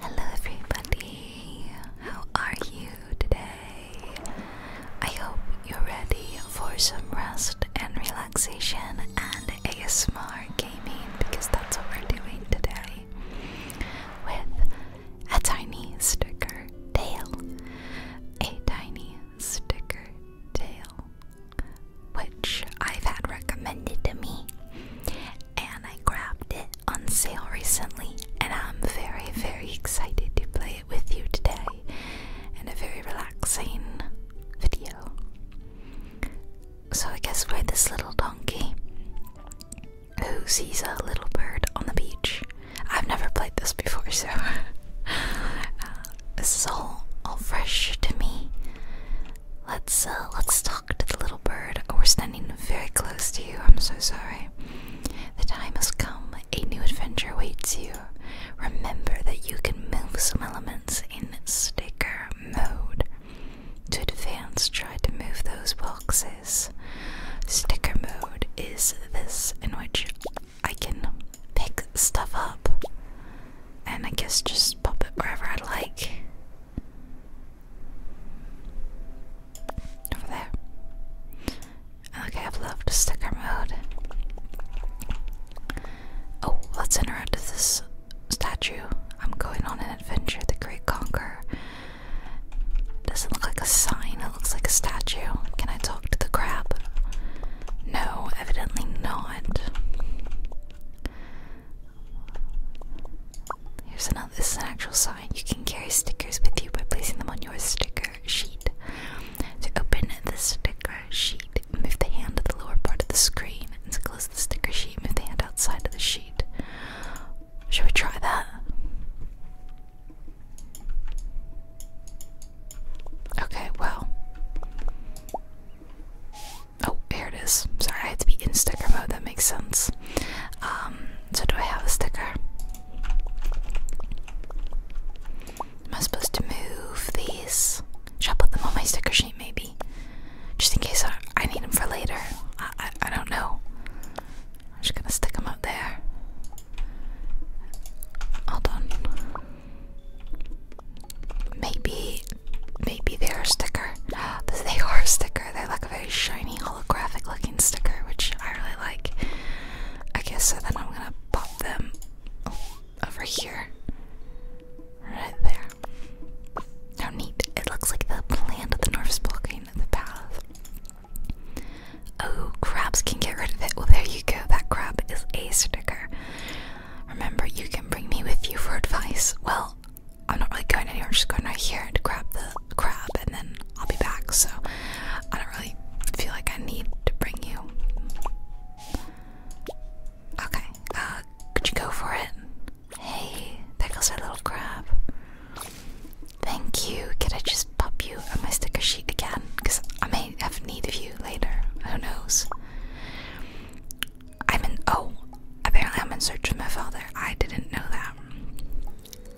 Hello, everybody. How are you today? I hope you're ready for some rest and relaxation and ASMR gaming because that's what we're doing today with a tiny sticker tail. A tiny sticker tail, which I've had recommended to me and I grabbed it on sale recently, and I'm very, very excited to play it with you today in a very relaxing video. So, I guess we're this little donkey who sees a little bird on the beach. I've never played this before, so uh, this is all, all fresh to me. Let's uh, let's talk to the little bird. we're standing very close to you. I'm so sorry. The time has come. A new adventure awaits you. Remember that you can move some elements in sticker mode. To advance, try to move those boxes. Sticker mode is this in which I can pick stuff up and I guess just pop it wherever I like. Over there. Okay, I've left sticker mode. Oh, let's interact with this statue. I'm going on an adventure, the Great Conqueror. Doesn't look like a sign, it looks like a statue. Can I talk to the crab? No, evidently not. Here's another. This is an actual sign. You can carry stickers with you by placing them on your sticker sheet. To open the sticker sheet, move the hand to the lower part of the screen, and to close the sticker sheet, move the hand outside of the sheet. Should we try that? Okay, well. Oh, here it is. Sorry, I had to be in sticker mode, that makes sense. Um, so do I have a sticker? Am I supposed to move these? Should I put them on my sticker sheet maybe? Just in case I, I need them for later. I, I, don't know. I'm just gonna stick them up there. Hold on. Maybe Maybe they're a sticker. They are sticker. They're like a very shiny holographic looking sticker, which I really like. I guess so then I'm gonna pop them over here. Right there. How neat. It looks like the plant of the north is blocking the path. Oh, crabs can get rid of it. Well, there you go. That crab is a sticker. Remember, you can bring me with you for advice. Well, I'm not really going anywhere. I'm just going right here to grab the crab, and then I'll be back. So I don't really feel like I need to bring you. Okay, uh, could you go for it? Hey, there goes our little crab. Thank you. Can I just pop you on my sticker sheet again? Because I may have need of you later. Who knows? I'm in. Oh, apparently I'm in search of my father. I didn't know that.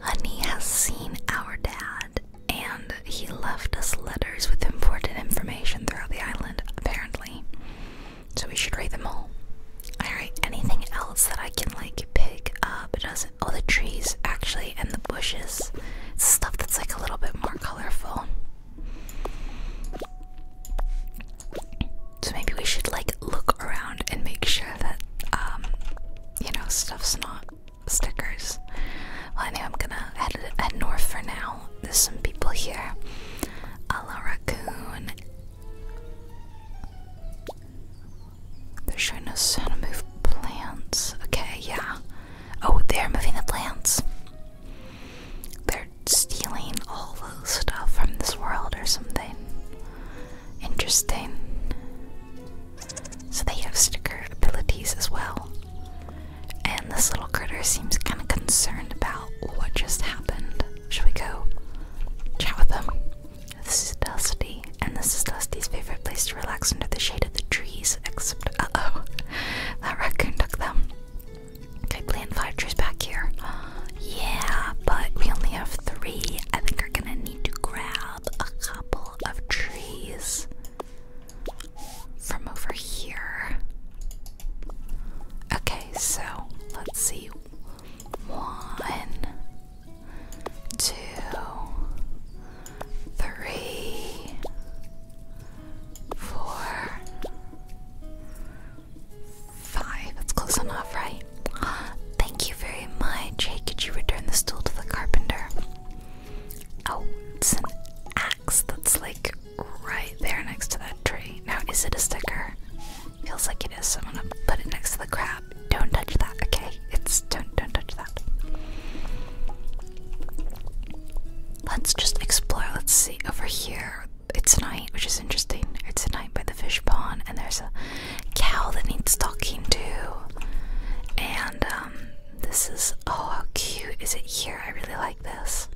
Honey has seen our dad, and he left us letters with important information throughout the island, apparently. So we should read them all. I Alright, anything else that I can like pick up? It doesn't. Oh, the trees actually, and the bushes. stuff that's like a little bit more colorful. So maybe we should like look around and make sure that um, you know stuff's not stickers. I know I'm gonna head north for now. There's some people here. A la raccoon. They're showing us how to move plants. Okay, yeah. Oh, they're moving the plants. They're stealing all the stuff from this world or something. Interesting. So they have sticker abilities as well. And this little critter seems kind of concerned about what just happened. Should we go chat with them? This is Dusty, and this is Dusty's favorite place to relax under the shade of the trees, except uh oh, that raccoon took them. I plant five trees back here. Yeah, but we only have three. I think we're gonna need to grab a couple of trees from over here. Okay, so let's see. One, two, three, four. Five. That's close enough, right? Thank you very much. Hey, could you return the stool to the carpenter? Oh, it's an axe that's like right there next to that tree. Now, is it a sticker? Feels like it is, so I'm gonna put it next to the crab. Don't touch that, okay? It's don't don't touch that. Let's just explore. Let's see over here it's a night, which is interesting. It's a night by the fish pond, and there's a cow that needs talking to. And um, this is oh, how cute is it here? I really like this.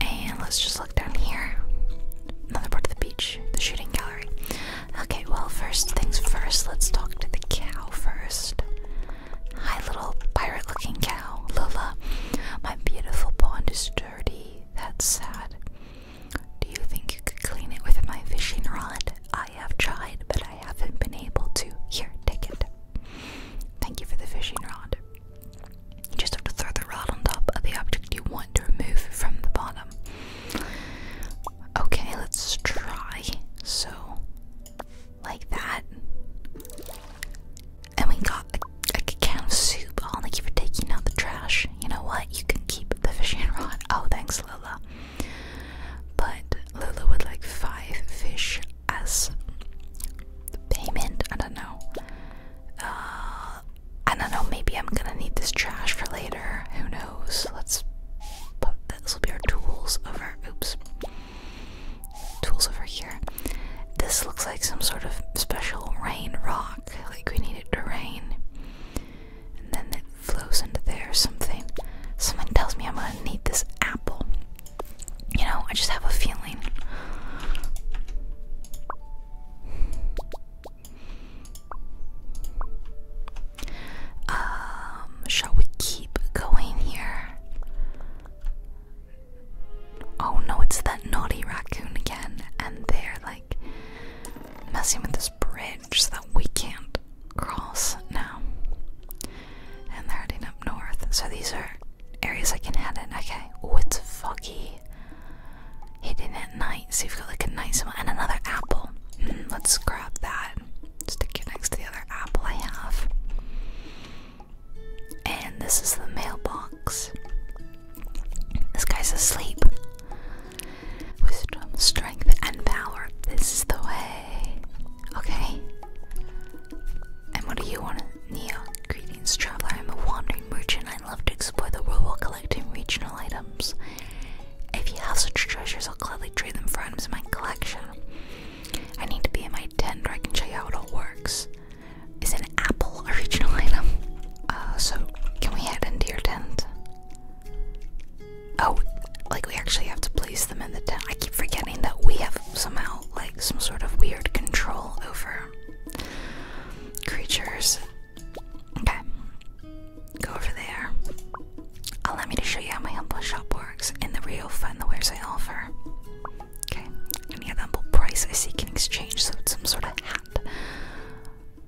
And let's just look down here. Another part of the beach, the shooting gallery. Okay, well, first things first, let's talk to the cow first. Hi, little pirate looking cow, Lola. My beautiful pond is dirty. That's sad. Do you think you could clean it with my fishing rod? I have tried, but I haven't been able to. Here, take it. Thank you for the fishing rod. You just have to throw the rod on top of the object you want to remove from the bottom. Okay, let's try. So, like that. And we got a can of soup. Oh, thank you for taking out the trash. You know what? You can keep the fishing rod. Oh, thanks, Lula. But Lulu would like five fish as payment. I don't know. Uh, I don't know. Maybe I'm gonna need this trash for later. Who knows? Let's put this will be our tools over. Oops. Tools over here. This looks like some sort of special rain rock like we need it to rain. And then it flows into there or something. Someone tells me I'm gonna need this apple. You know, I just have a feeling. Um, shall we keep going here? Oh no, it's that naughty raccoon again, and they're like messing with this bridge that we can't cross now. And they're heading up north. So these are areas I can head in. Okay. Oh, it's foggy. Hidden at night. So you've got like a nice one. And another apple. Hmm, let's grab that. Stick it next to the other apple I have. And this is the mailbox. This guy's asleep. Wisdom, strength, and power. This is the way. Okay. And what do you want, Neo? Greetings, traveler. I'm a wandering merchant. I love to explore the world while collecting regional items. If you have such treasures, I'll gladly trade them for items in my collection. I need to be in my tent where I can show you how it all works is an Apple original item. Uh, so can we head into your tent? Oh, like we actually have to place them in the tent. I keep forgetting that we have somehow like some sort of weird control over creatures. Okay, go over there. Allow me to show you how my humble shop works and the real fun the wares I offer. Okay, any humble price I seek in exchange, so it's some sort of hat.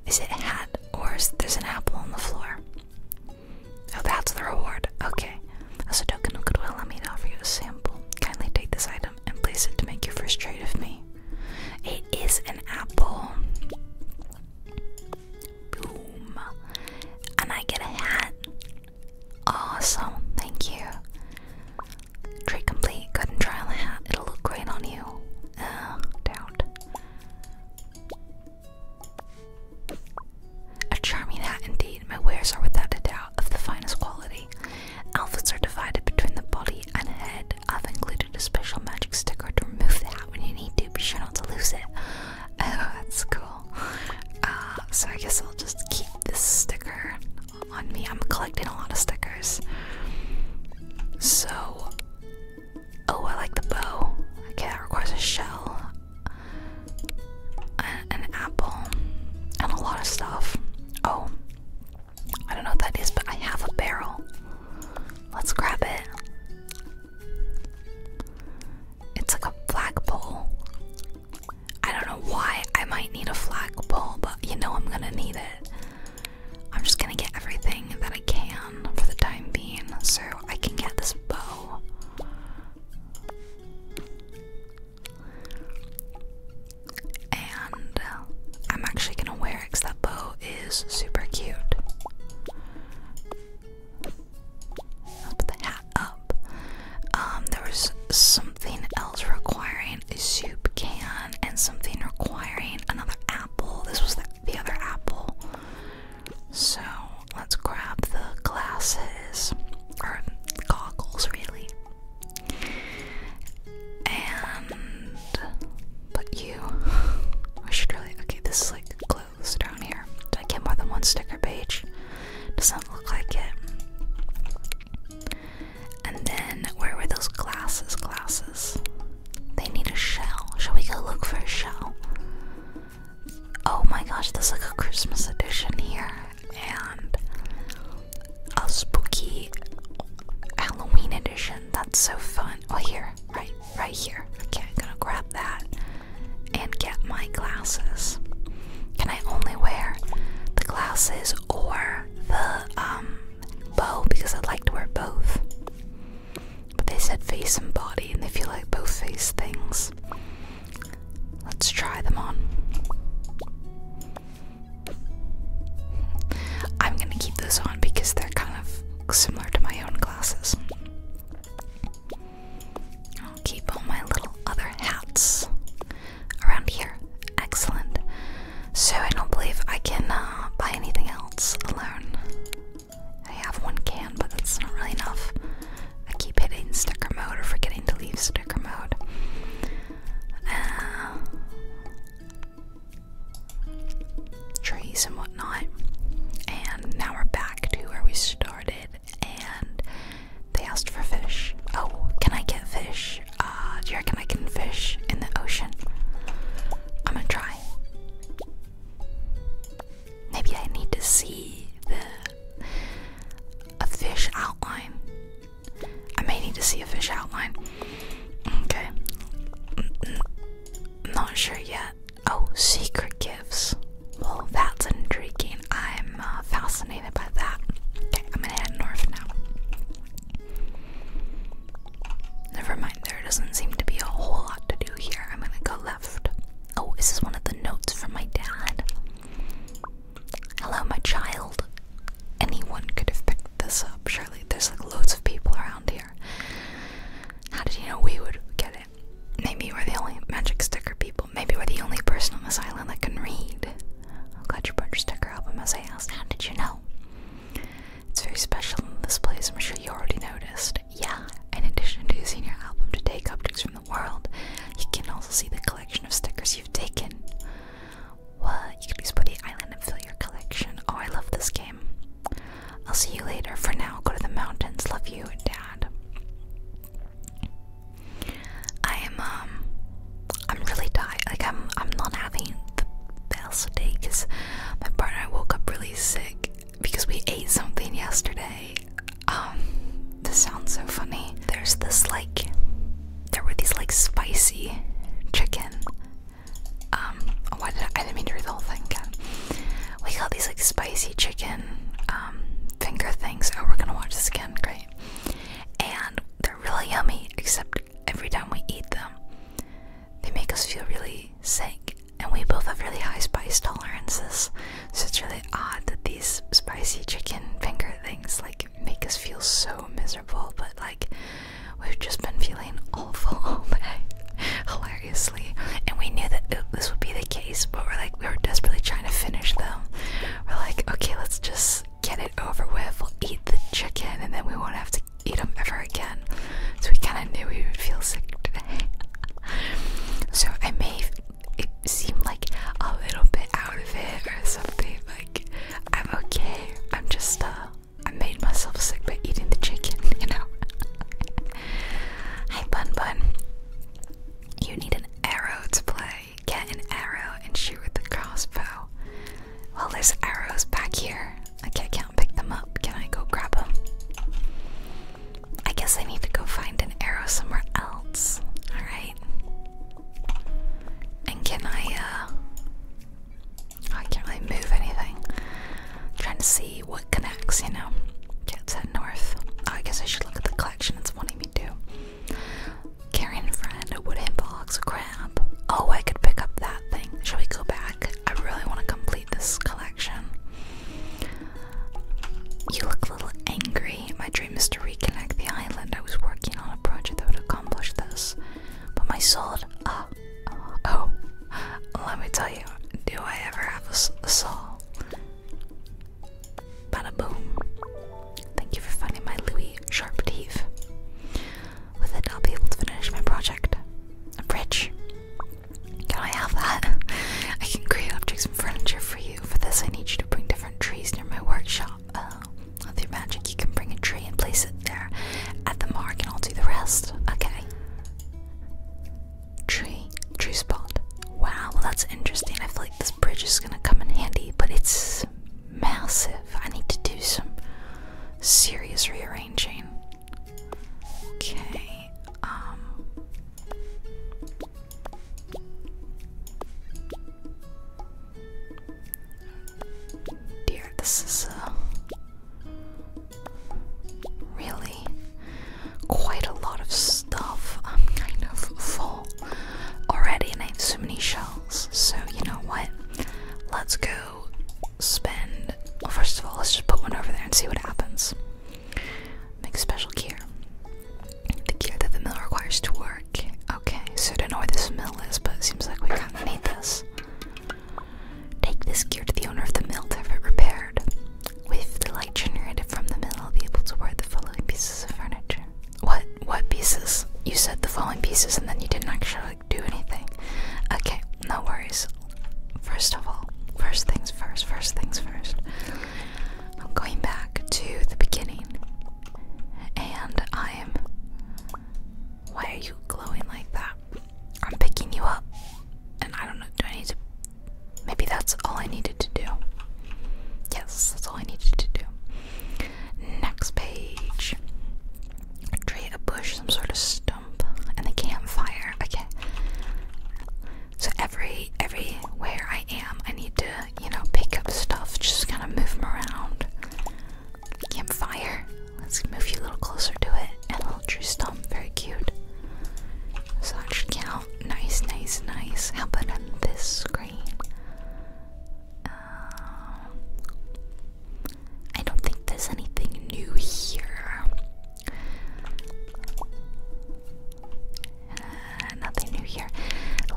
Is it a hat or is there's an apple on the floor? Oh, that's the reward. Okay. As a token of goodwill, let me offer you a sample. Kindly take this item and place it to make your first trade of me. It is an apple. Boom. And I get a hat. Awesome. Thank you. Trade complete. Go and try hat. It'll look great on you. Um, doubt. A charming hat indeed. My wares are without a doubt of the finest quality. Outfits are divided between the body and head. I've included a special magic sticker to remove the hat when you need to. Be sure not to lose it. Oh, that's cool. Uh, so I guess I'll just keep this sticker on me. I'm collecting a lot of stickers. So, oh, I like the bow. Okay, that requires a shell, an, an apple, and a lot of stuff. Oh, I don't know what that is, but I have a barrel. Let's grab it. It's like a flagpole. I don't know why I might need a flagpole, but you know I'm gonna need it. I'm just gonna get everything that I can for the time being so I can get this bow. And uh, I'm actually gonna wear it because that bow is super cute. put the hat up. Um, there was something else requiring a soup can and something requiring another apple. This was the, the other apple. So let's grab the glasses, or goggles, really. And but you, I should really. Okay, this is like clothes down here. I can't more than one sticker page? Doesn't look like it. And then, where were those glasses? Glasses. They need a shell. Shall we go look for a shell? Oh my gosh, there's like a Christmas edition here and a spooky Halloween edition. That's so fun. Oh, here, right, right here. Okay, I'm gonna grab that and get my glasses. Can I only wear the glasses or the um bow because I like to wear both. But they said face and body, and they feel like both face things. Let's try them on. I'm gonna keep those on because they're kind of similar to my own glasses. I'll keep all my little other hats around here. Excellent. So I don't believe I can uh, buy anything else alone. I have one can, but that's not really enough. I keep hitting sticker mode or forgetting to leave sticker mode. Uh, trees and whatnot. And now we're back to where we started, and they asked for fish. Oh, can I get fish? Uh, do you reckon I can fish in the ocean? I'm gonna try. Maybe I need to see the a fish outline. I may need to see a fish outline. Okay. Not sure yet. Oh, secret gifts. Well, that's intriguing. I'm uh, fascinated by that. Okay, I'm gonna head north now. Never mind, there doesn't seem to be a whole lot to do here. I'm gonna go left. Oh, this is one of the notes from my dad? Hello, my child. Anyone could have picked this up, surely. There's like loads of people around here. How did you know we would get it? Maybe we're the only magic sticker people. Maybe we're the only person on this island that can read. I'm glad you brought your sticker album as say asked. How did you know? It's very special in this place, I'm sure you already noticed. Yeah, in addition to using your album to take objects from the world, you can also see the collection of stickers you've taken. Well, you can explore the island and fill your collection. Oh, I love this game. I'll see you later. For now, go to the mountains. Love you, Dad. I am, um, I'm really tired. Like I'm, I'm not having the best day because my partner I woke up really sick because we ate something yesterday. Um, this sounds so funny. There's this like, there were these like spicy chicken. Um, why did I, I didn't mean to read the whole thing again. We got these like spicy chicken um finger things. Oh, we're gonna watch this again. Great. And they're really yummy, except every time we eat them, they make us feel really sick. And we both have really high spice tolerances, so it's really odd that these spicy chicken finger things like make us feel so miserable. But like, we've just been feeling awful all day, hilariously. And we knew that this would be the case, but we're like, we were desperately trying to finish them. We're like, okay, let's just get it over with. We'll eat the chicken, and then we won't have to eat them ever again. So we kind of knew we would feel sick today. so I may it seemed like a little bit out of it or something. Like I'm okay. I'm just uh I made myself sick by eating the chicken, you know. Hi Bun Bun. You need an arrow to play. Get an arrow and shoot with the crossbow. Well, there's arrows back here. I can't pick them up. Can I go grab them? I guess I need to go find an arrow somewhere else. Alright. And can I, uh. Oh, I can't really move anything. trying to see what connects, you know. Okay, let's head north. Oh, I guess I should look at the collection it's wanting me to. Carrying friend, a wooden box, a Oh, I could pick up that thing. Shall we go back? I really want to complete this collection. You look a little angry. My dream is to reconnect the island. I was working on a project that would accomplish this. But my soul. oh, let me tell you, do I ever have a, soul? boom. Thank you for finding my Louis sharp teeth. With it, I'll be able to finish my project. A bridge. Can I have that? I can create objects and furniture for you. For this, I need you to bring different trees near my workshop. Oh, with your magic, you can bring a tree and place it there at the mark, and I'll do the rest. Okay. Tree. Tree spot. Wow, well, that's interesting. I feel like this bridge is gonna come in handy, but it's massive. I need to do some serious rearranging. Okay. Um. Dear, this is uh, really quite a lot of stuff. I'm kind of full already, and I have so many shells. So, you know what? Let's go spend. Well, first of all, let's just put one over there and see what happens. Make special gear. The gear that the mill requires to work. Okay, so I don't know where this mill is, but it seems like we kind of need this. Take this gear to the owner of the mill to have it repaired. With the light generated from the mill, I'll be able to wear the following pieces of furniture. What? What pieces? You said the following pieces, and then you didn't actually do anything. Okay, no worries. First of all, first things first, first things first. I'm going back to the beginning. And I am. Why are you glowing like that? I'm picking you up. And I don't know, do I need to. Maybe that's all I needed to do. Yes, that's all I needed to do. Next page. Tree, a bush, some sort of stump, and a campfire. Okay. So every everywhere I am, I need to, you know, pick up stuff. Just kind of move them around. Campfire. Let's move you a little closer to it. And a little tree stump. Very cute. So that should count. Nice, nice, nice. How about this screen? I don't think there's anything new here. Uh, nothing new here.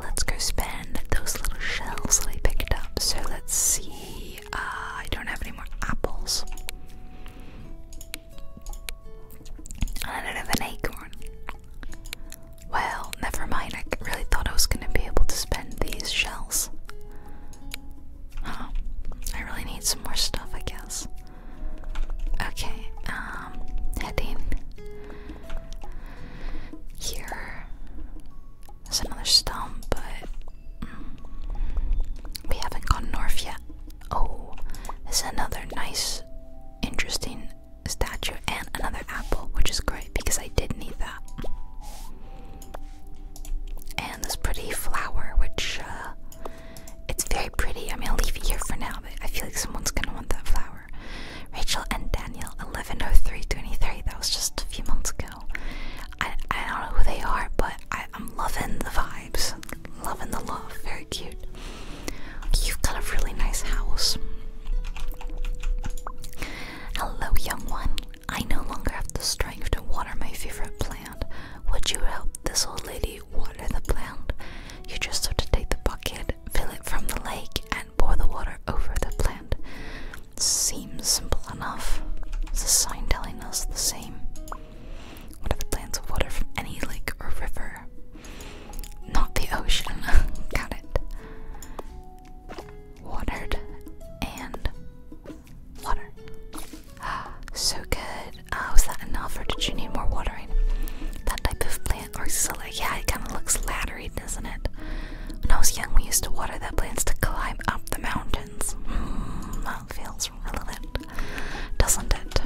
Let's go spend those little shells that I picked up. So let's see. Uh, I don't have any more apples. I don't have an acorn. Well, never mind. I really thought I was going to be able to spend these shells. Oh, I really need some more stuff, I guess. Okay, um, heading here. There's another stump, but mm, we haven't gone north yet. Oh, there's another nice, interesting statue and another apple, which is great because I did need that and this pretty flower, which uh, it's very pretty. I am gonna leave it here for now, but I feel like someone's gonna want that flower. Rachel and Daniel, 1103-23. That was just a few months ago. I, I don't know who they are, but I'm loving the vibes, loving the love. Very cute. You've got a really nice house. Hello, young one. I no longer have the strength to water my favorite plant. Would you help this old lady water the plant? You just have to take the bucket, fill it from the lake, and pour the water over the plant. Seems simple enough. It's a sign telling us the same. What are the plants of water from any lake or river? Not the ocean. Got it. Watered and Water. So good. was oh, that enough, or did you need more watering? That type of plant, or silla? Yeah, it kind of looks lattery, doesn't it? When I was young, we used to water that plants to climb up the mountains. Hmm, that feels relevant, doesn't it?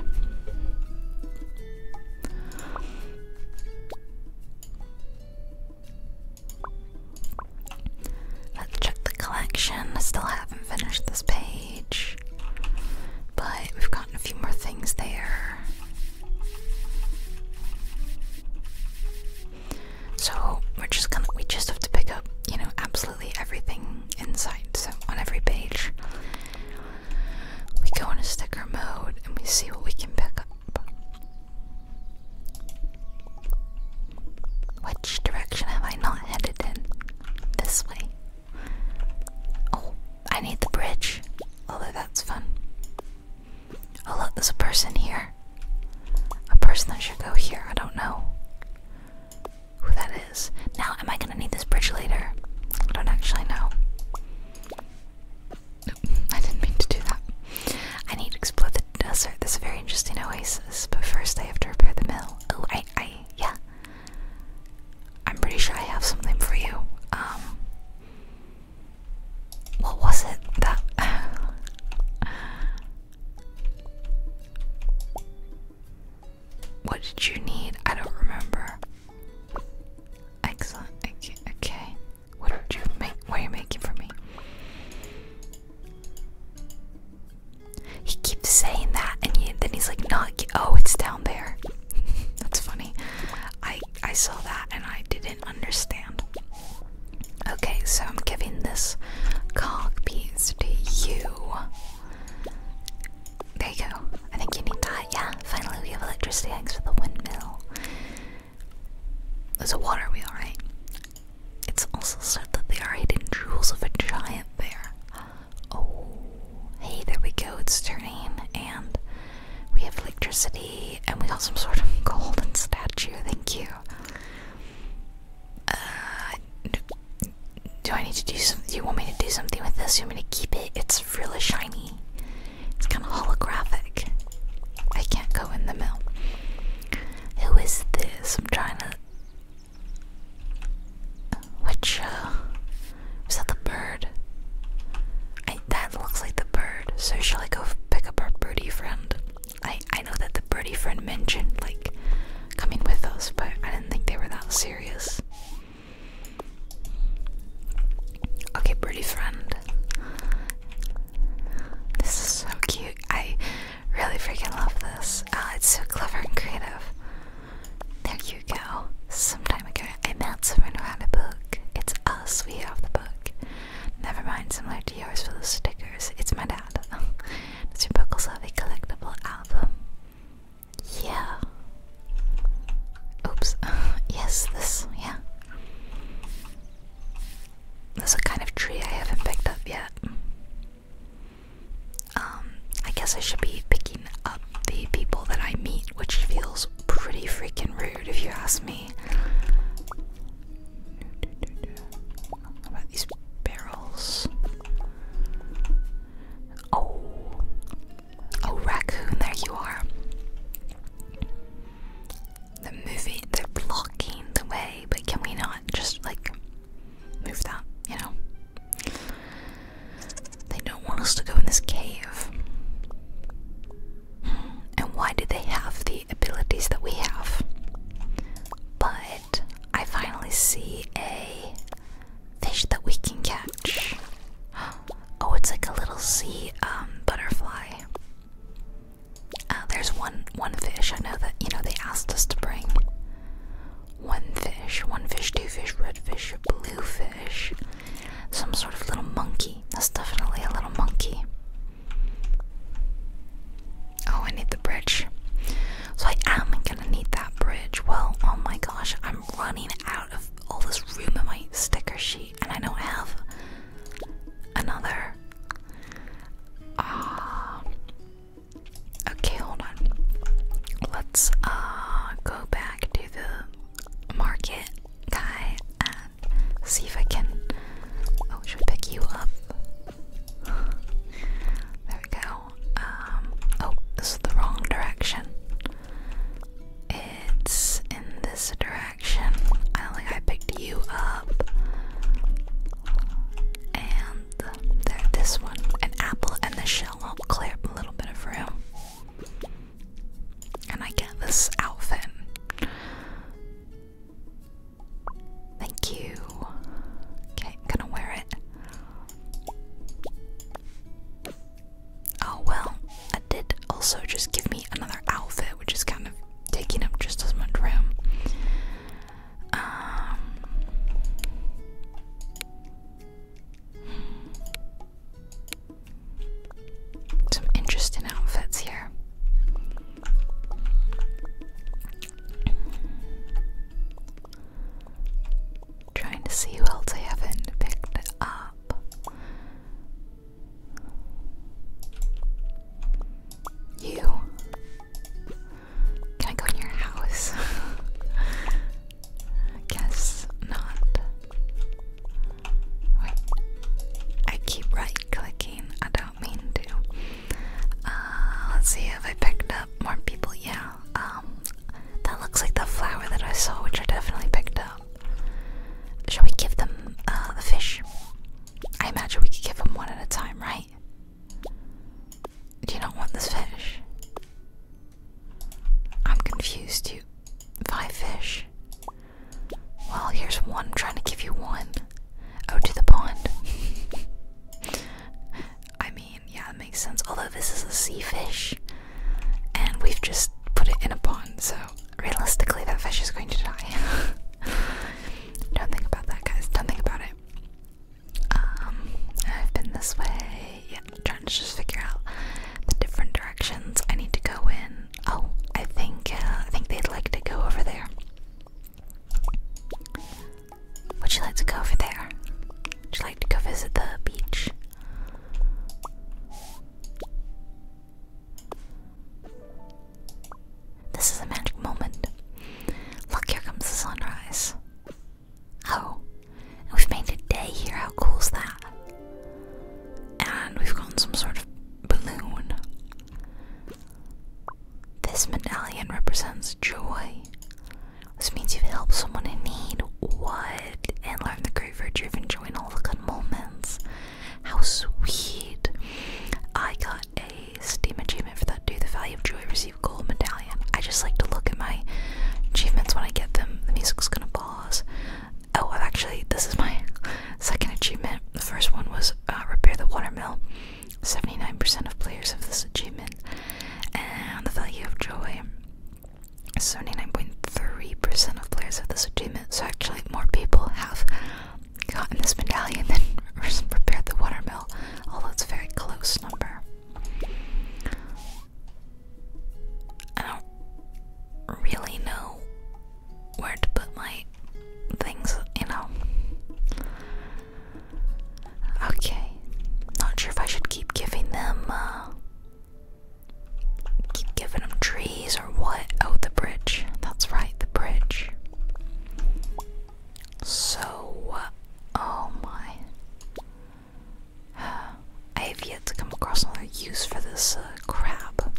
Let's check the collection. I still haven't finished this page, but we've gotten a few more things there. So we're just gonna, we just have to pick up, you know, absolutely everything inside. So on every page, we go in a sticker mode and we see what we can pick up. Which direction have I not headed in? This way. Oh, I need the bridge. Although that's fun. Oh, look, there's a person here. A person that should go here. I don't know who that is. Now, am I gonna need this bridge later? I don't actually know. I didn't mean to do that. I need to explore the desert. This a very interesting oasis, but first I have to repair the mill. Oh, I, I, yeah. I'm pretty sure I have something for you. Um, what was it that? what did you need? I don't remember. Excellent. Okay. What did you make? What are you making for me? He keeps saying that, and then he's like, "Not oh, it's down there." That's funny. I I saw that and I didn't understand. Okay, so I'm giving this cock piece to you. There you go. I think you need that. Yeah, finally we have electricity thanks for the windmill. There's a water wheel, right? It's also said that they are hidden jewels of a giant bear. Oh, hey, there we go. It's turning, and we have electricity, and we have some sort of golden statue. Thank you. Uh, do I need to do some? Do you want me to do something with this? You want me to keep it? It's really shiny. It's kind of holographic. I can't go in the mill. Who is this? I'm trying to. Which, uh. Is that the bird? that looks like the bird. So, shall I go pick up our birdie friend? I, I know that the birdie friend mentioned, like, coming with us, but I didn't think they were that serious. Okay, birdie friend. This is so cute. I Really freaking love this. Oh, it's so clever and creative. There you go. Some time ago, I met someone who had a book. It's us, we have the book. Never mind, similar to yours for the stickers. It's my dad. Does your book also have a collectible album? Yeah. Oops. yes, this, yeah. That's a kind of tree I haven't picked up yet. Um, I guess I should be picking up the people that I meet, which feels pretty freaking rude if you ask me. about these barrels? Oh, oh, raccoon, there you are. They're moving, they're blocking the way, but can we not just like move that, you know? They don't want us to go in this cave. Hmm, and why do they have the abilities that we have? But I finally see a fish that we can catch. Oh, it's like a little sea um, butterfly. Uh, there's one one fish. I know that you know they asked us to bring one fish, one fish, two fish, red fish, blue fish, some sort of little monkey. That's definitely a little monkey. Oh, I need the bridge. So I am gonna need that bridge. Well, oh my gosh, I'm running out of all this room in my sticker sheet, and I don't have another um, okay, hold on. Let's uh, go back to the market guy and see if I can oh should pick you up. There we go. Um, oh this is the wrong direction. It's in this direction. I don't think I picked you up. And this one, an apple and the shell will clear up a little bit of room. And I get this outfit. Thank you. Okay, gonna wear it. Oh well, that did also just give me another outfit, which is kind of taking up just as much room. Um, some interesting outfits here. Trying to see who else I haven't picked up. You. Can I go in your house? Guess not. Wait. I keep right clicking. I don't mean to. Uh, let's see if I picked up more people. Yeah. Um, that looks like the flower that I saw, which I definitely picked up. Shall we give them uh, the fish? I imagine we could give them one at a time, right? Do you not want this fish? I'm confused, you. Five fish. Well, here's one. I'm trying to give you one. Out oh, to the pond. I mean, yeah, that makes sense. Although this is a sea fish, and we've just put it in a pond, so realistically, that fish is going to die. Don't think about that, guys. Don't think about it. Um, I've been this way. Yeah, trying to just figure out the different directions I need to go in. Oh, I think uh, I think they'd like to go over there. Would you like to go over there? Would you like to go visit the beach? This is a magic moment. Look, here comes the sunrise. Oh, and we've made a day here. How cool is that? And we've gotten some sort of balloon. This medallion represents joy. This means you've helped someone in need. What? And learn the great virtue of enjoying all the good moments. How sweet. I got a Steam achievement for that. Do the value of joy receive gold medallion? I just like to look at my achievements when I get them. The music's gonna pause. Oh, i actually this is my second achievement. The first one was uh, repair the watermill. Seventy-nine percent of players have this achievement, and the value of joy. Seventy-nine point three percent of players have this achievement. So actually, more people have Got in this medallion then prepared the watermill, although it's a very close number. I don't really know where to put my things, you know. Okay, not sure if I should keep giving them, uh, keep giving them trees or what. Oh, the bridge. That's right, the bridge. So, oh my. I have yet to come across another use for this uh, crab.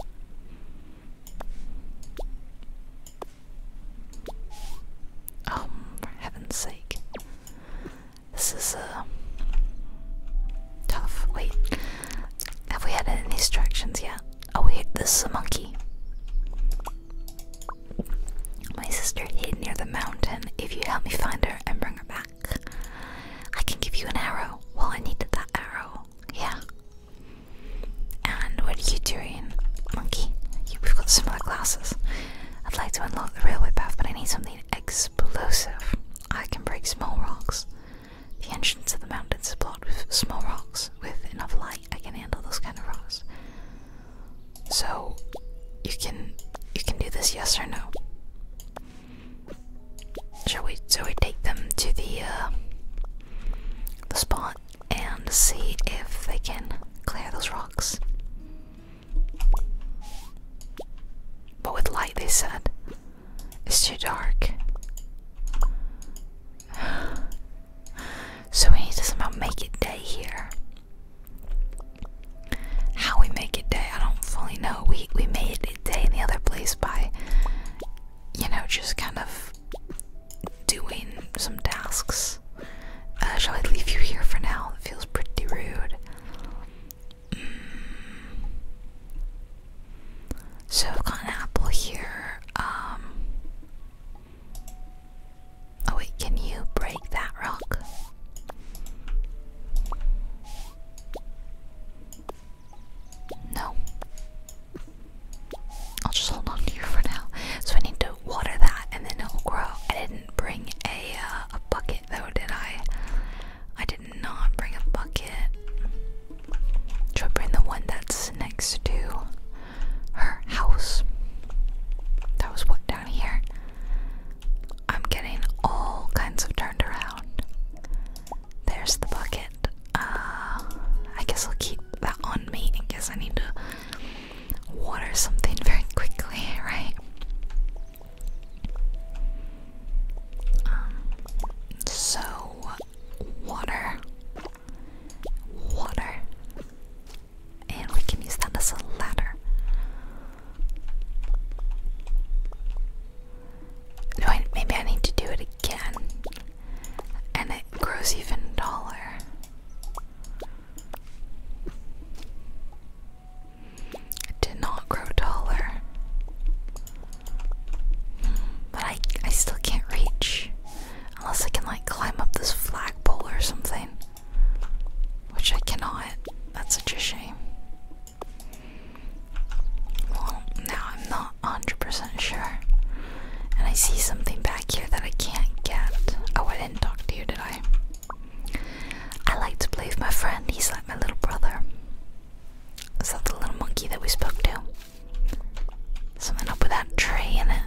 Um, for heaven's sake. This is, uh, tough. Wait, have we had any instructions yet? Oh wait, this is a monkey. My sister hid near the mountain. If you help me find her and bring her back, I can give you an arrow. Well, I need that arrow. Yeah. And what are you doing, monkey? we've got similar glasses. I'd like to unlock the railway path, but I need something explosive. I can break small rocks. The entrance to the mountain is blocked with small rocks. With enough light, I can handle those kind of rocks. So you can you can do this yes or no. Shall we so we take them to the uh, the spot and see if they can clear those rocks. But with light they said. It's too dark. So we need to somehow make it day here. How we make it day, I don't fully know. We we made it day in the other place by you know, just kind of doing some tasks. Uh, shall I leave you here for now? It feels pretty rude. Mm. So I've got an apple here. Um, Oh wait, can you break that rock? No. I'll just hold on to you for now. So I need to water that and then it'll grow. I didn't bring a uh, bucket though, did I? I did not bring a bucket. Should I bring the one that's next to her house. That was what down here. I'm getting all kinds of turned around. There's the bucket. Uh, I guess I'll keep that on me in case I need to water something very quickly, right? Um, so, water. Water and we can use that as a ladder. maybe I need to do it again, and it grows even taller. did not grow taller, hmm, but I I still can't reach. Unless I can like climb up this flagpole or something. Which I cannot. That's such a shame. Well, now I'm not 100% sure. And I see something back here that I can't get. Oh, I didn't talk to you, did I? I like to play with my friend. He's like my little brother. Is that the little monkey that we spoke to? Something up with that tree in it.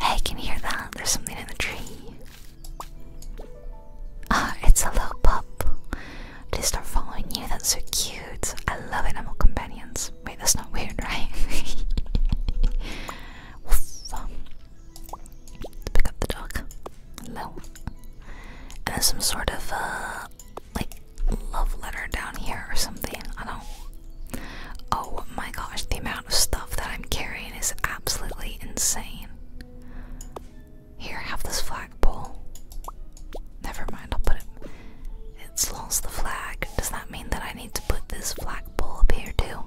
Hey, can you hear that? There's something in the tree. Ah, oh, it's a little pup. They start following you. That's so cute. I love animal companions. Wait, that's not weird, right? um, pick up the dog. Hello. there's some sort of uh, like love letter down here or something. I don't Oh my gosh, the amount of stuff that I'm carrying is absolutely insane. Here, have this flagpole. Never mind, I'll put it. It's lost the flag. Does that mean that I need to put this flagpole up here too?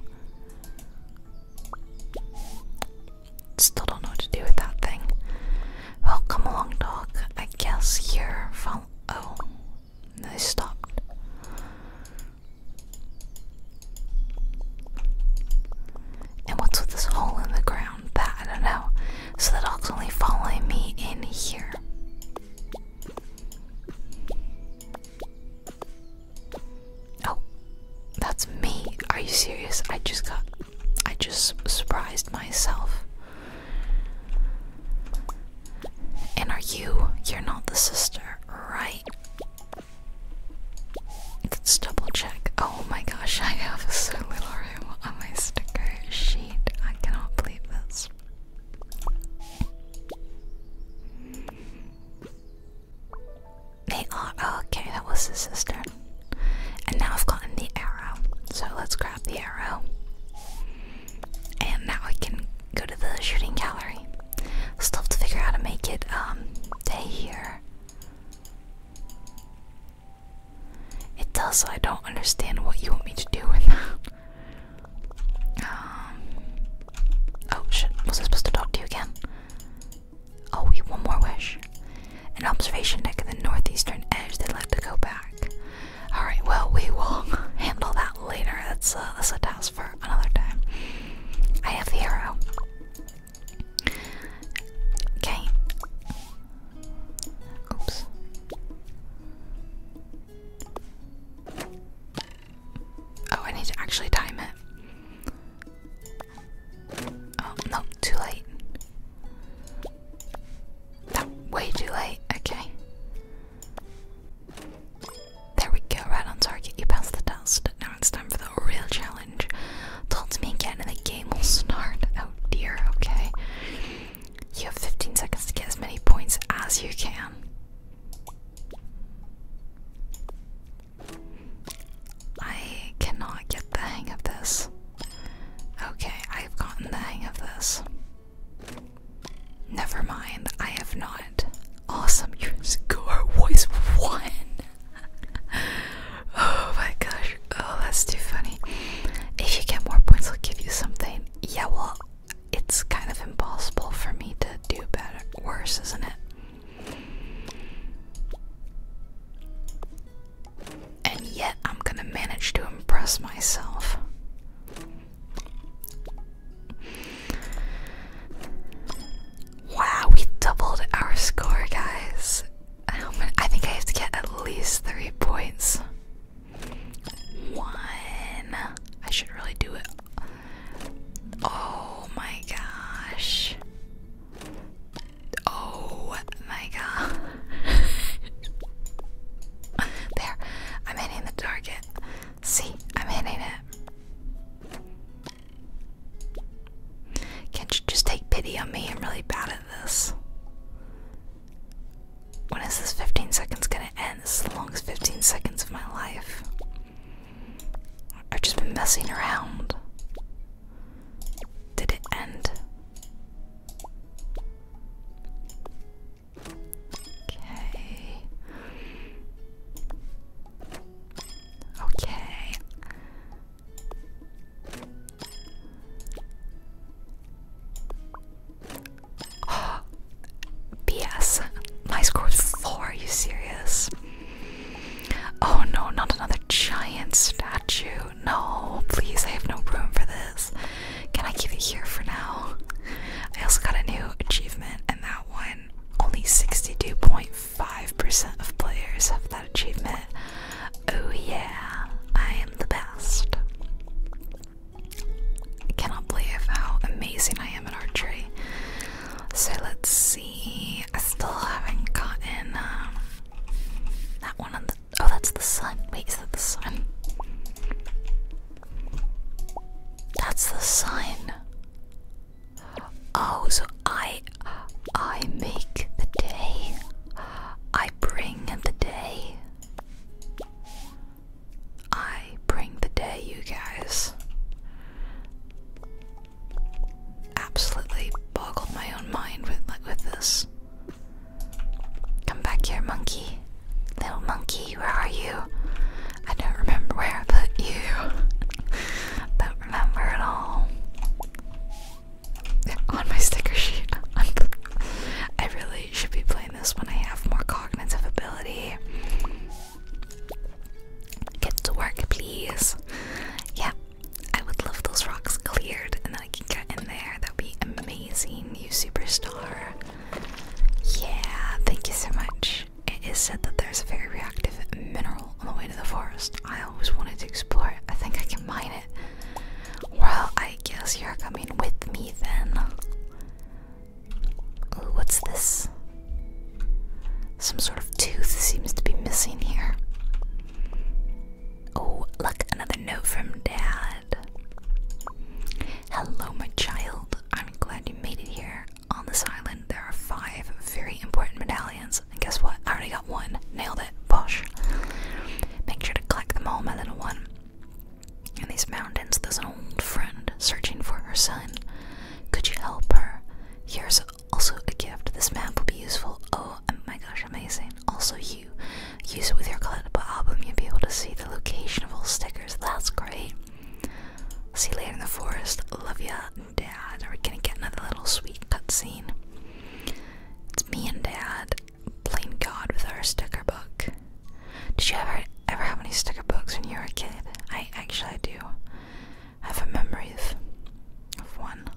Still don't know what to do with that thing. Well, come along, dog. I guess you're. Follow oh, I stopped. And what's with this hole in the ground? That I don't know. So the dog's only following me in here. Oh, that's me. Are you serious? I just got. I just surprised myself. And are you? You're not the sister, right? Let's double check. Oh my gosh, I have a little room on my sticker sheet. I cannot believe this. They are. Oh, okay, that was the sister. And now I've gotten the arrow. So let's grab the arrow and now I can go to the shooting gallery. Still have to figure out how to make it um day here. It does, so I don't understand what you want me to do with that. Um, oh shit, was I supposed to talk to you again? Oh, we one more wish. An observation deck in the northeastern edge, they would like to go back. All right. Well, we will handle that later. That's a, uh, that's a task for another time. I have the arrow. Okay. Oops. Oh, I need to actually time it. Oh no, too late. No, way too late. Okay. There we go, right on target. You passed the test. Now it's time for the real challenge. Told me again and the game will start. Oh dear, okay. You have 15 seconds to get as many points as you can. I cannot get the hang of this. Okay, I've gotten the hang of this. Never mind, I have not. Awesome, your score was one. oh my gosh, oh, that's too funny. If you get more points, I'll give you something. Yeah, well, it's kind of impossible for me to do better, worse, isn't it? And yet, I'm gonna manage to impress myself. Wow, we doubled our score, guys. Um, I think I have to get at least three points. One. I should really do it. Oh my gosh. Oh my god. there. I'm hitting the target. See, I'm hitting it. Can't you just take pity on me? I'm really bad at this. When is this 15 seconds gonna end? This is the longest 15 seconds of my life. I've just been messing around. Did it end? Okay. Okay. BS. My score is four. Are you serious? Oh no, not another giant statue. No, please, I have no room for this. Can I keep it here for now? I also got a new achievement, and that one only 62.5% of players have that achievement. Oh, yeah, I am the best. I cannot believe how amazing I am in archery. So let's see. I still haven't gotten um, that one on the. Oh, that's the sun. Wait, is that the sun? That's the sign. Oh, so I I make the day. I bring the day. I bring the day, you guys. Absolutely boggle my own mind with with this. Come back here, monkey. Little monkey, where are you? I don't remember where I put you. don't remember at all. On my sticker sheet. I really should be playing this when I have more cognitive ability. Get to work, please. Yeah, I would love those rocks cleared and then I can get in there. That would be amazing, you superstar. Yeah, thank you so much. It is said that there's a very reactive mineral on the way to the forest. I always wanted to explore I think I can mine it. Well, I guess you're coming with me then. Ooh, what's this? Some sort of tooth seems to be missing here. Oh, look, another note from Dad. Hello, my child. I'm glad you made it here. On this island, there are five very important medallions, and guess what? I already got one. Nailed it. Bosh. Make sure to collect them all, my little one. In these mountains, there's an old friend searching for her son. Could you help her? Here's also a gift. This map will be useful. Oh, oh my gosh, amazing. Also, you use it with your collectible album, you'll be able to see the location of all stickers. That's great. See you later in the forest. Love ya, Dad. Are we gonna get another little sweet cutscene? It's me and Dad playing God with our sticker book. Did you ever ever have any sticker books when you were a kid? I actually do. I have a memory of, of one.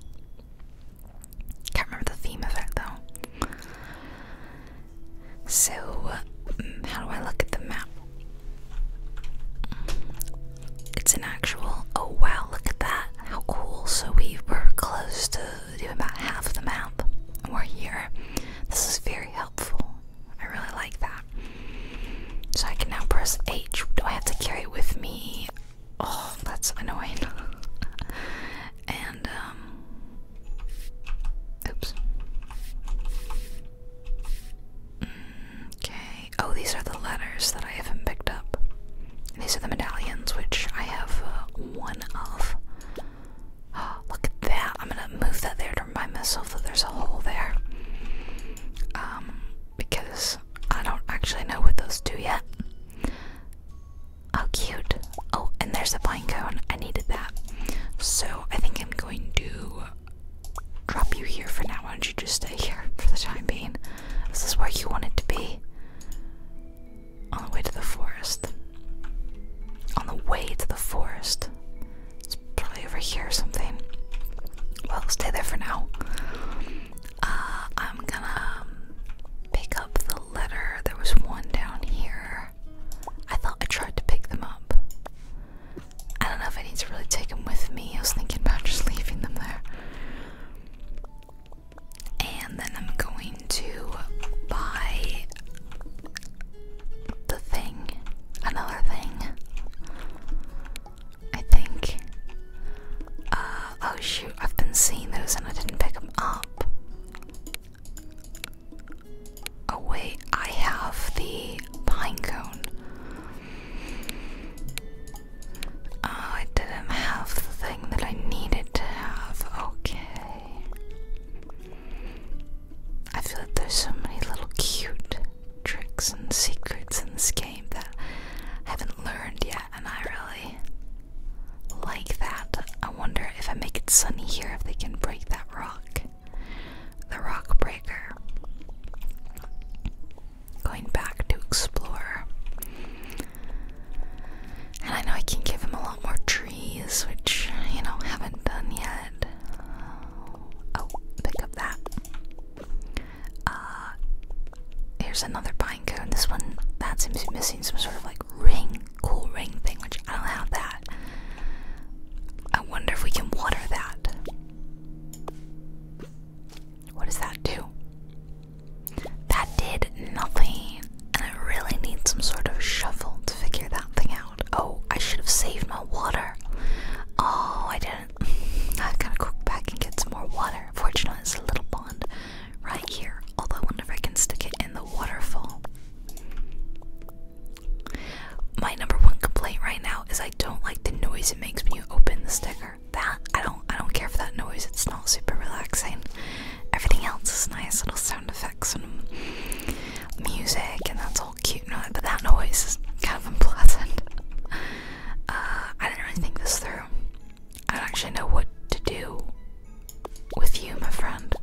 Can't remember the theme of it though. So, um, how do I look at the map? It's an actual. Oh wow, look at that. How cool. So, we were close to doing about half of the map, and we're here. This is very helpful. I really like that. So, I can now press H. Do I have to carry it with me? Oh, that's annoying. and, um. Oops. Okay. Oh, these are the letters that I haven't picked up. These are the medallions, which I have uh, one of. look at that. I'm gonna move that there to remind myself that there's a hole there. Um, because I don't actually know what those do yet. Oh, cute. Oh, and there's a blind cone. I needed that. So I think I'm going to drop you here for now. Why don't you just stay here for the time being? This is where you wanted to be. On the way to the forest. On the way to the forest. It's probably over here or something. Well, stay there for now. Uh, I'm gonna um, pick up the letter. There was one down here. I thought I tried to pick them up. I don't know if I need to really take them with me. I was thinking about just leaving them there. And then I'm going to buy the thing. Another thing. I think. Uh, oh shoot, I've been seeing those and I didn't pick them up. Oh, wait, I have the pine cone. Oh, I didn't have the thing that I needed to have. Okay. I feel like there's so many little cute tricks and secrets in this game that I haven't learned yet, and I really like that. I wonder if I make it sunny here if they can break that rock the rock breaker. Going back to explore. And I know I can give him a lot more trees, which, you know, haven't done yet. Oh, oh, pick up that. Uh, here's another pine cone. This one, that seems to be missing some sort of like ring, cool ring thing, which I don't have that. I wonder if we can water that. What does that do? That did nothing. And I really need some sort of shovel to figure that thing out. Oh, I should have saved my water. Oh, I didn't. I've got to go back and get some more water. Fortunately, it's a little pond right here. Although I wonder if I can stick it in the waterfall. My number one complaint right now is I don't like the noise it makes when you open the sticker. That I don't I don't care for that noise. It's not super relaxing. Everything else is nice, little sound effects and music, and that's all cute. but that noise is kind of unpleasant. Uh, I didn't really think this through. I don't actually know what to do with you, my friend.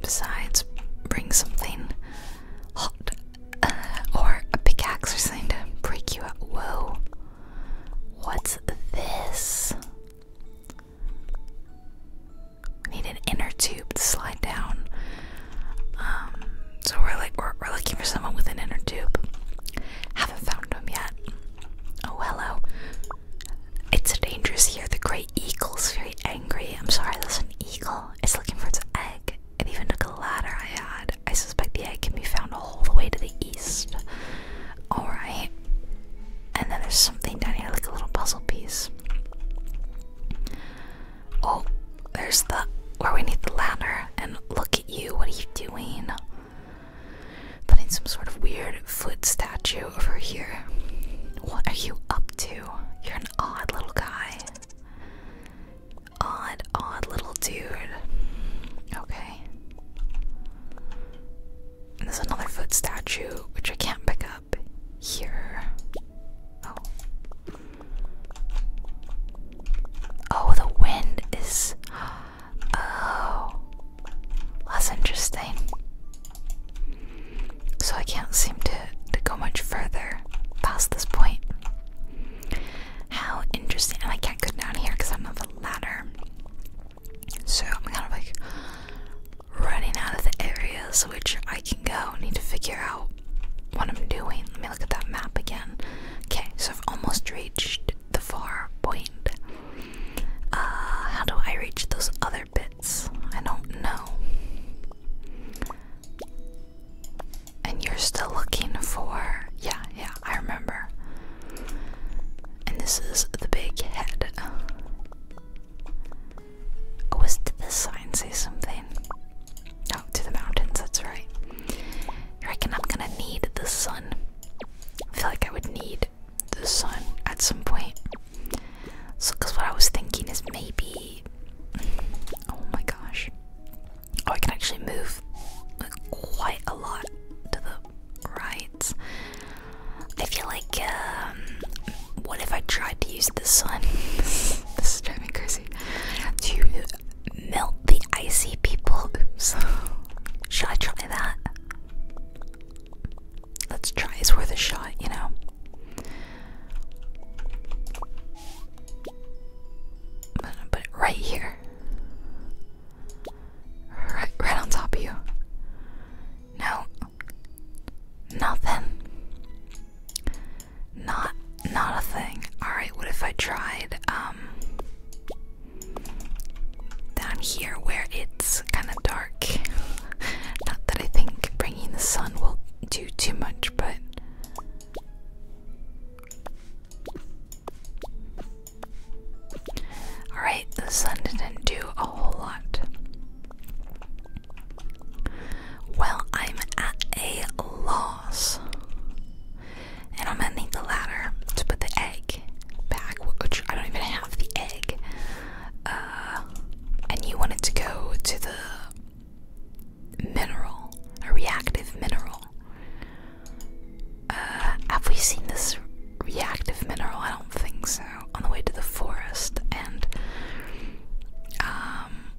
Besides, bring something hot uh, or a pickaxe or something to break you up. Whoa. What's this? need an inner tube to slide down. Um, so we're like we're, looking for someone with an inner tube. Haven't found them yet. Oh hello. It's dangerous here. The great eagle's very angry. I'm sorry, that's an eagle. It's looking for its egg. It even took a ladder I had. I suspect the egg can be found all the way to the east. Alright. And then there's something down here, like a little puzzle piece. Oh, there's the where we need the ladder. And look at you, what are you doing? Putting some sort of weird foot statue over here. What are you up to? You're an odd little guy. Odd, odd little dude. Okay. there's another foot statue, which I can't pick up here. Oh. oh the wind is. Oh. Less interesting. So I can't seem to, to go much further past this point. How interesting. And I can't go down here because I'm on the ladder. So I'm kind of like running out of the areas which I can go. need to figure out what I'm doing. Let me look at that map again. Okay, so I've almost reached the far point. Uh, how do I reach those other bits? I don't know. And you're still looking for. Yeah, yeah, I remember. And this is the big head. Oh, was, did this sign say something? Oh, to the mountains, that's right. I reckon I'm gonna need the sun. I feel like I would need the sun at some point. So, because what I was thinking is maybe. Oh my gosh. Oh, I can actually move quite a lot to the right. I feel like, um, what if I tried to use the sun? this is driving me crazy. To melt the icy people. Oops. Should I try that? let's try. It's worth a shot, you know. gonna put it right here. Right, right on top of you. No. Nothing. Not not a thing. Alright, what if I tried um down here where it's kind dark. Not that I think bringing the sun will do too much, but. Alright, the sun didn't do a whole lot. Well, I'm at a loss. And I'm gonna need the ladder to put the egg back, which I don't even have the egg. Uh, and you wanted to go to the mineral, a reactive mineral. Uh, have we seen this reactive mineral? I don't think so. On the way to the forest, and um,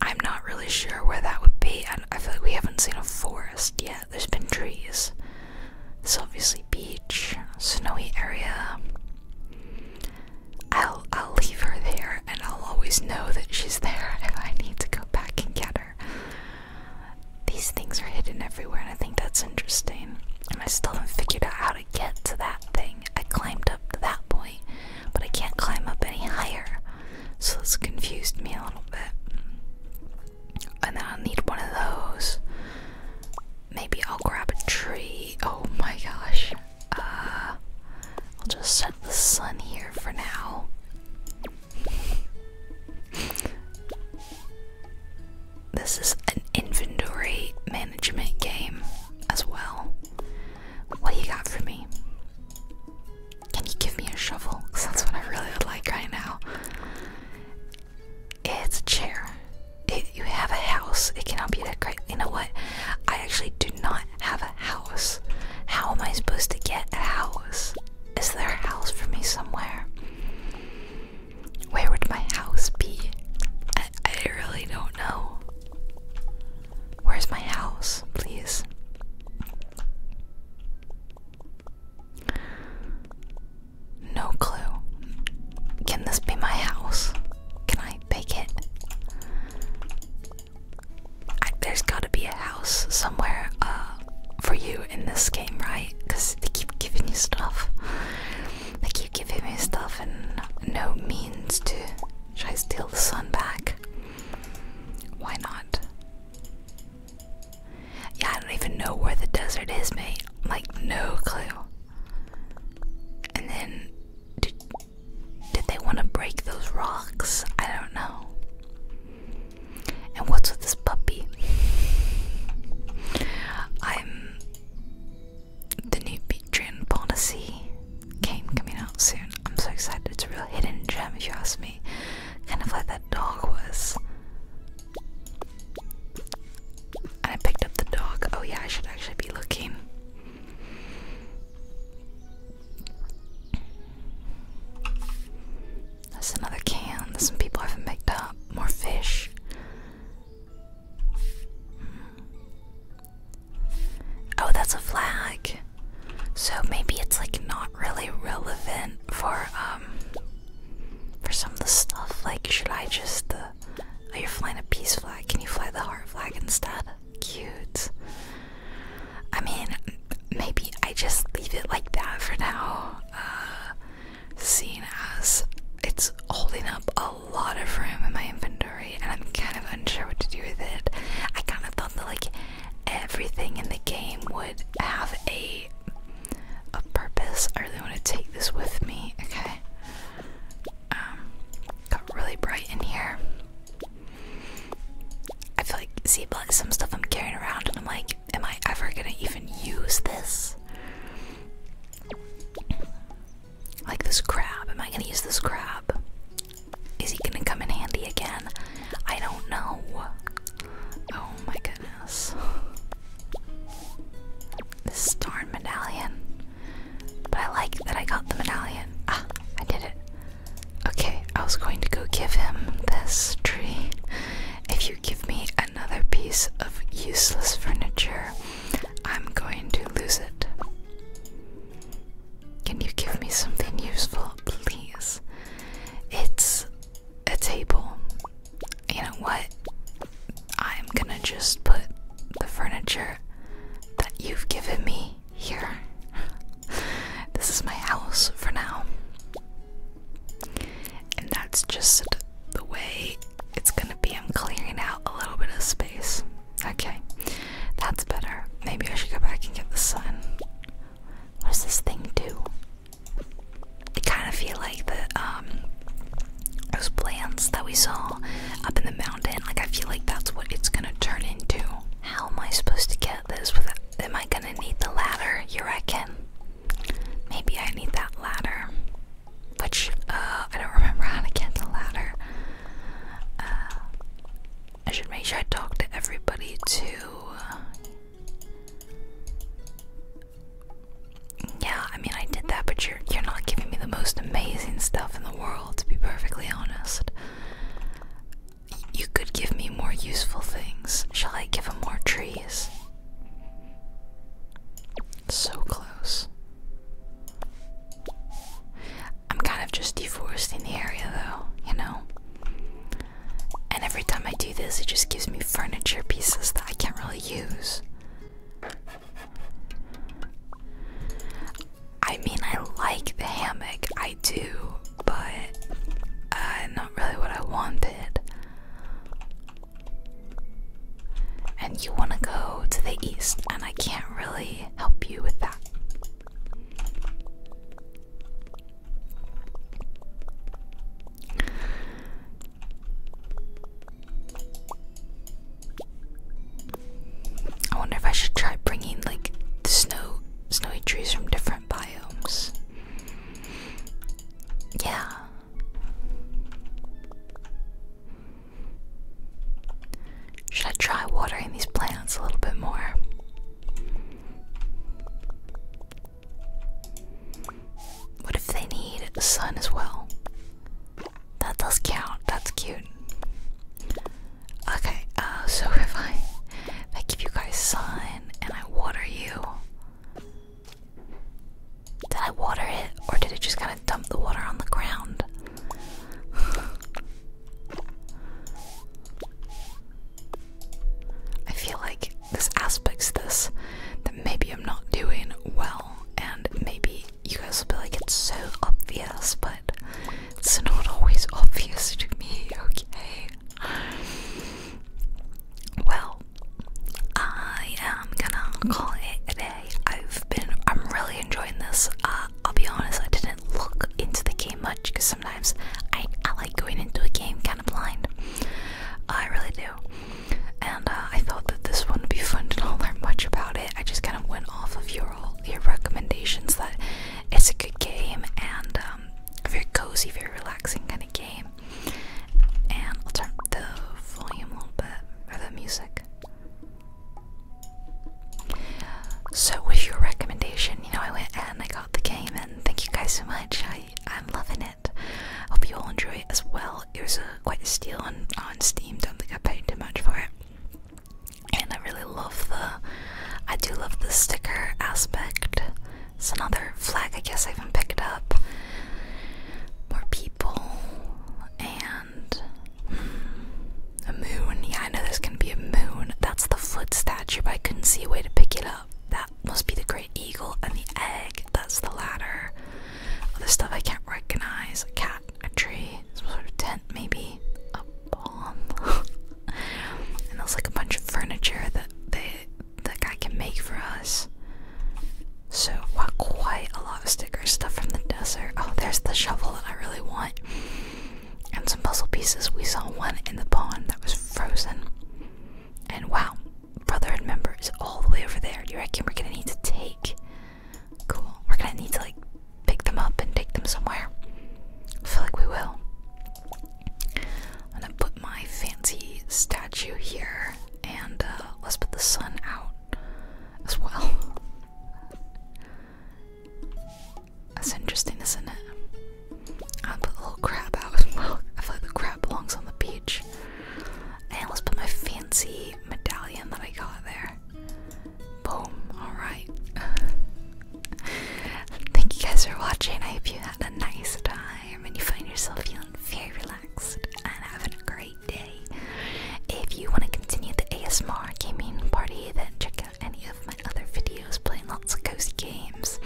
I'm not really sure where that would be. I, feel like we haven't seen a forest yet. There's been trees. It's obviously beach, snowy area. I'll I'll leave her there and I'll always know that she's there if I need to go back and get her. These things are hidden everywhere and I think that's interesting. And I still haven't figured out how to get to that thing. I climbed up to that point, but I can't climb up any higher. So this confused me a little bit. And then I'll need one of those maybe I'll grab a tree. Oh my gosh. Uh, I'll just set the sun here for now. this is an inventory management game as well. What do you got for me? Can you give me a shovel? that's what I really would like right now. It's a chair. If you have a house. It cannot be that great. You know what? I actually do not have a house. How am I supposed to get a house? Is there a house for me somewhere? Where would my house be? I really don't know. Where's my house, please? No clue. Can this be my house? Can I bake it? there's gotta be a house somewhere uh, for you in this game, right? Because they keep giving me stuff. They keep giving me stuff and no means to. try I steal the sun back? Why not? Yeah, I don't even know where the desert is, mate. Like, no clue. And then, did, did they want to break those rocks? I don't know. And what's with this puppy? I'm. The new Patreon policy game coming out soon. I'm so excited. It's a real hidden gem, if you ask me. Kind of like that dog was. I picked up the dog. Oh, yeah, I should actually be looking. There's another can that some people haven't picked up. More fish. Hmm. Oh, that's a flag. So maybe it's like not really relevant for um for some of the stuff. Like, should I just uh, Oh, you're flying a peace flag. Can you fly the heart flag instead? Cute. I mean, maybe I just leave it like that for now. Uh, seeing as it's holding up a lot of room in my inventory, and I'm kind of unsure what to do with it. I kind of thought that like everything in the game would have a a purpose. I really want to take this with me. Okay. Um, got really bright in here. I feel like, see, but some stuff I'm carrying around, and I'm like, am I ever gonna even use this? Like this crab, am I gonna use this crab? Is he gonna come in handy again? I don't know. Oh my goodness. This darn medallion. But I like that I got the medallion. Ah, I did it. Okay, I was going to go give him this tree. If you give me another piece of useless furniture, I'm going to lose it. Can you give me something useful, please? It's a table. You know what? I'm gonna just put the furniture that you've given me here. this is my house for now. And that's just the way it's gonna be. I'm clearing out a little bit of space. Okay, that's better. Maybe I should go back and get the sun. What does this thing do? I kind of feel like the um, those plants that we saw up in the mountain. Like I feel like that's what it's gonna turn into. How am I supposed to get this without am I gonna need the ladder? You reckon? Maybe I need that ladder. Which uh, I don't remember how to get the ladder. Uh, I should make sure I talk to everybody too. Uh, yeah, I mean I did that, but you're you're not giving me the most amazing stuff in the world, to be perfectly honest. You could give me more useful things. Shall I give him more trees? So close. I'm kind of just deforesting the area though, you know? And every time I do this, it just gives me furniture pieces that I can't really use. I mean, I like the hammock, I do, but uh, not really what I wanted. And you want to go to the east, and I can't really help you with that. I wonder if I should try bringing like the snow, snowy trees from different biomes. Yeah. Should I try watering these plants a little bit more? What if they need sun as well? That does count. That's cute. Okay, uh, so if I, if I give you guys sun and I water you, did I water it or did it just kind of dump the water on the ground? I feel like this aspects this that maybe I'm not doing well, and maybe you guys will be like, it's so obvious, but it's not always obvious to me, okay? Well, I am gonna call it a day. I've been, I'm really enjoying this. Uh, I'll be honest, I didn't look into the game much because sometimes I like going into a game kind of blind. I really do and uh, I thought that this one would be fun to not learn much about it. I just kind of went off of your recommendations that it's a good game and um, a very cozy, very relaxing kind of game. And I'll turn the volume a little bit for the music. So with your recommendation, you know, I went and I got the game, and thank you guys so much. I am loving it. Hope you all enjoy it as well. It was uh, quite a steal on on uh, Steam. Don't think I paid too much for it. And I really love the. I do love the sticker aspect. It's another flag. I guess I haven't picked up. More people and hmm, a moon. Yeah, I know there's gonna be a moon. That's the foot statue, but I couldn't see a way to pick it up. That must be the great eagle and the egg. That's the ladder. Other stuff I can't recognize. A cat, a tree, some sort of tent maybe, a bomb. and there's like a bunch of furniture that they the guy can make for us. So wow, quite a lot of stickers, stuff from the desert. Oh, there's the shovel that I really want. And some puzzle pieces. We saw one in the pond that was frozen. And wow, brotherhood member is all the way over there. Do you reckon we're gonna need to take Cool. We're gonna need to like pick them up and take them somewhere. I feel like we will. I'm gonna put my fancy statue here and uh, let's put the sun out as well. That's interesting, isn't it? I'll put a little crab out as well. I feel like the crab belongs on the beach. And let's put my fancy medallion that I got there. Boom. Alright. Thank you guys for watching. I hope you had a nice time and you find yourself feeling very relaxed and having a great day. If you want to continue the ASMR gaming party, then check out any of my other videos playing lots of cozy games.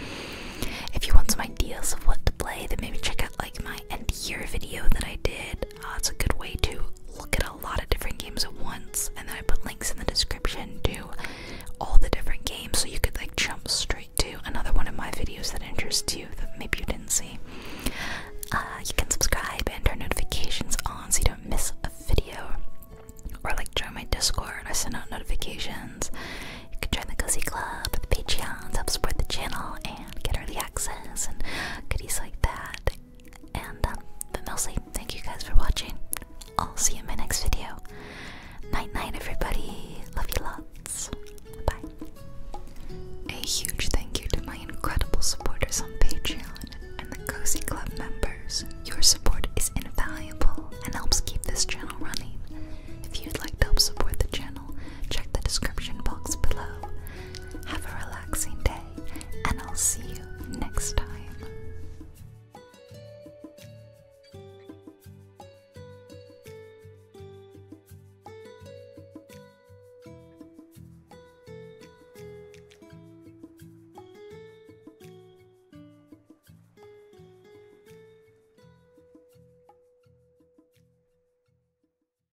If you want some ideas of what to play, then maybe check out like my end year video that I did uh, it's a good way to look at a lot of different games at once. And then I put links in the description to all the different games so you could like jump straight to another one of my videos that interests you that maybe you didn't see. Uh, you can subscribe and turn notifications on so you don't miss a video. Or like join my Discord, I send out notifications. You can join the Cozy Club, the Patreon, help support the channel, and and get early access and goodies like that. And um, but mostly, thank you guys for watching. I'll see you in my next video. Night night, everybody. Love you lots. Bye. A huge thank you to my incredible supporters on Patreon and the Cozy Club members. Your support is invaluable and helps keep this channel running. If you'd like to help support the channel, check the description box below. Have a relaxing day, and I'll see you next time.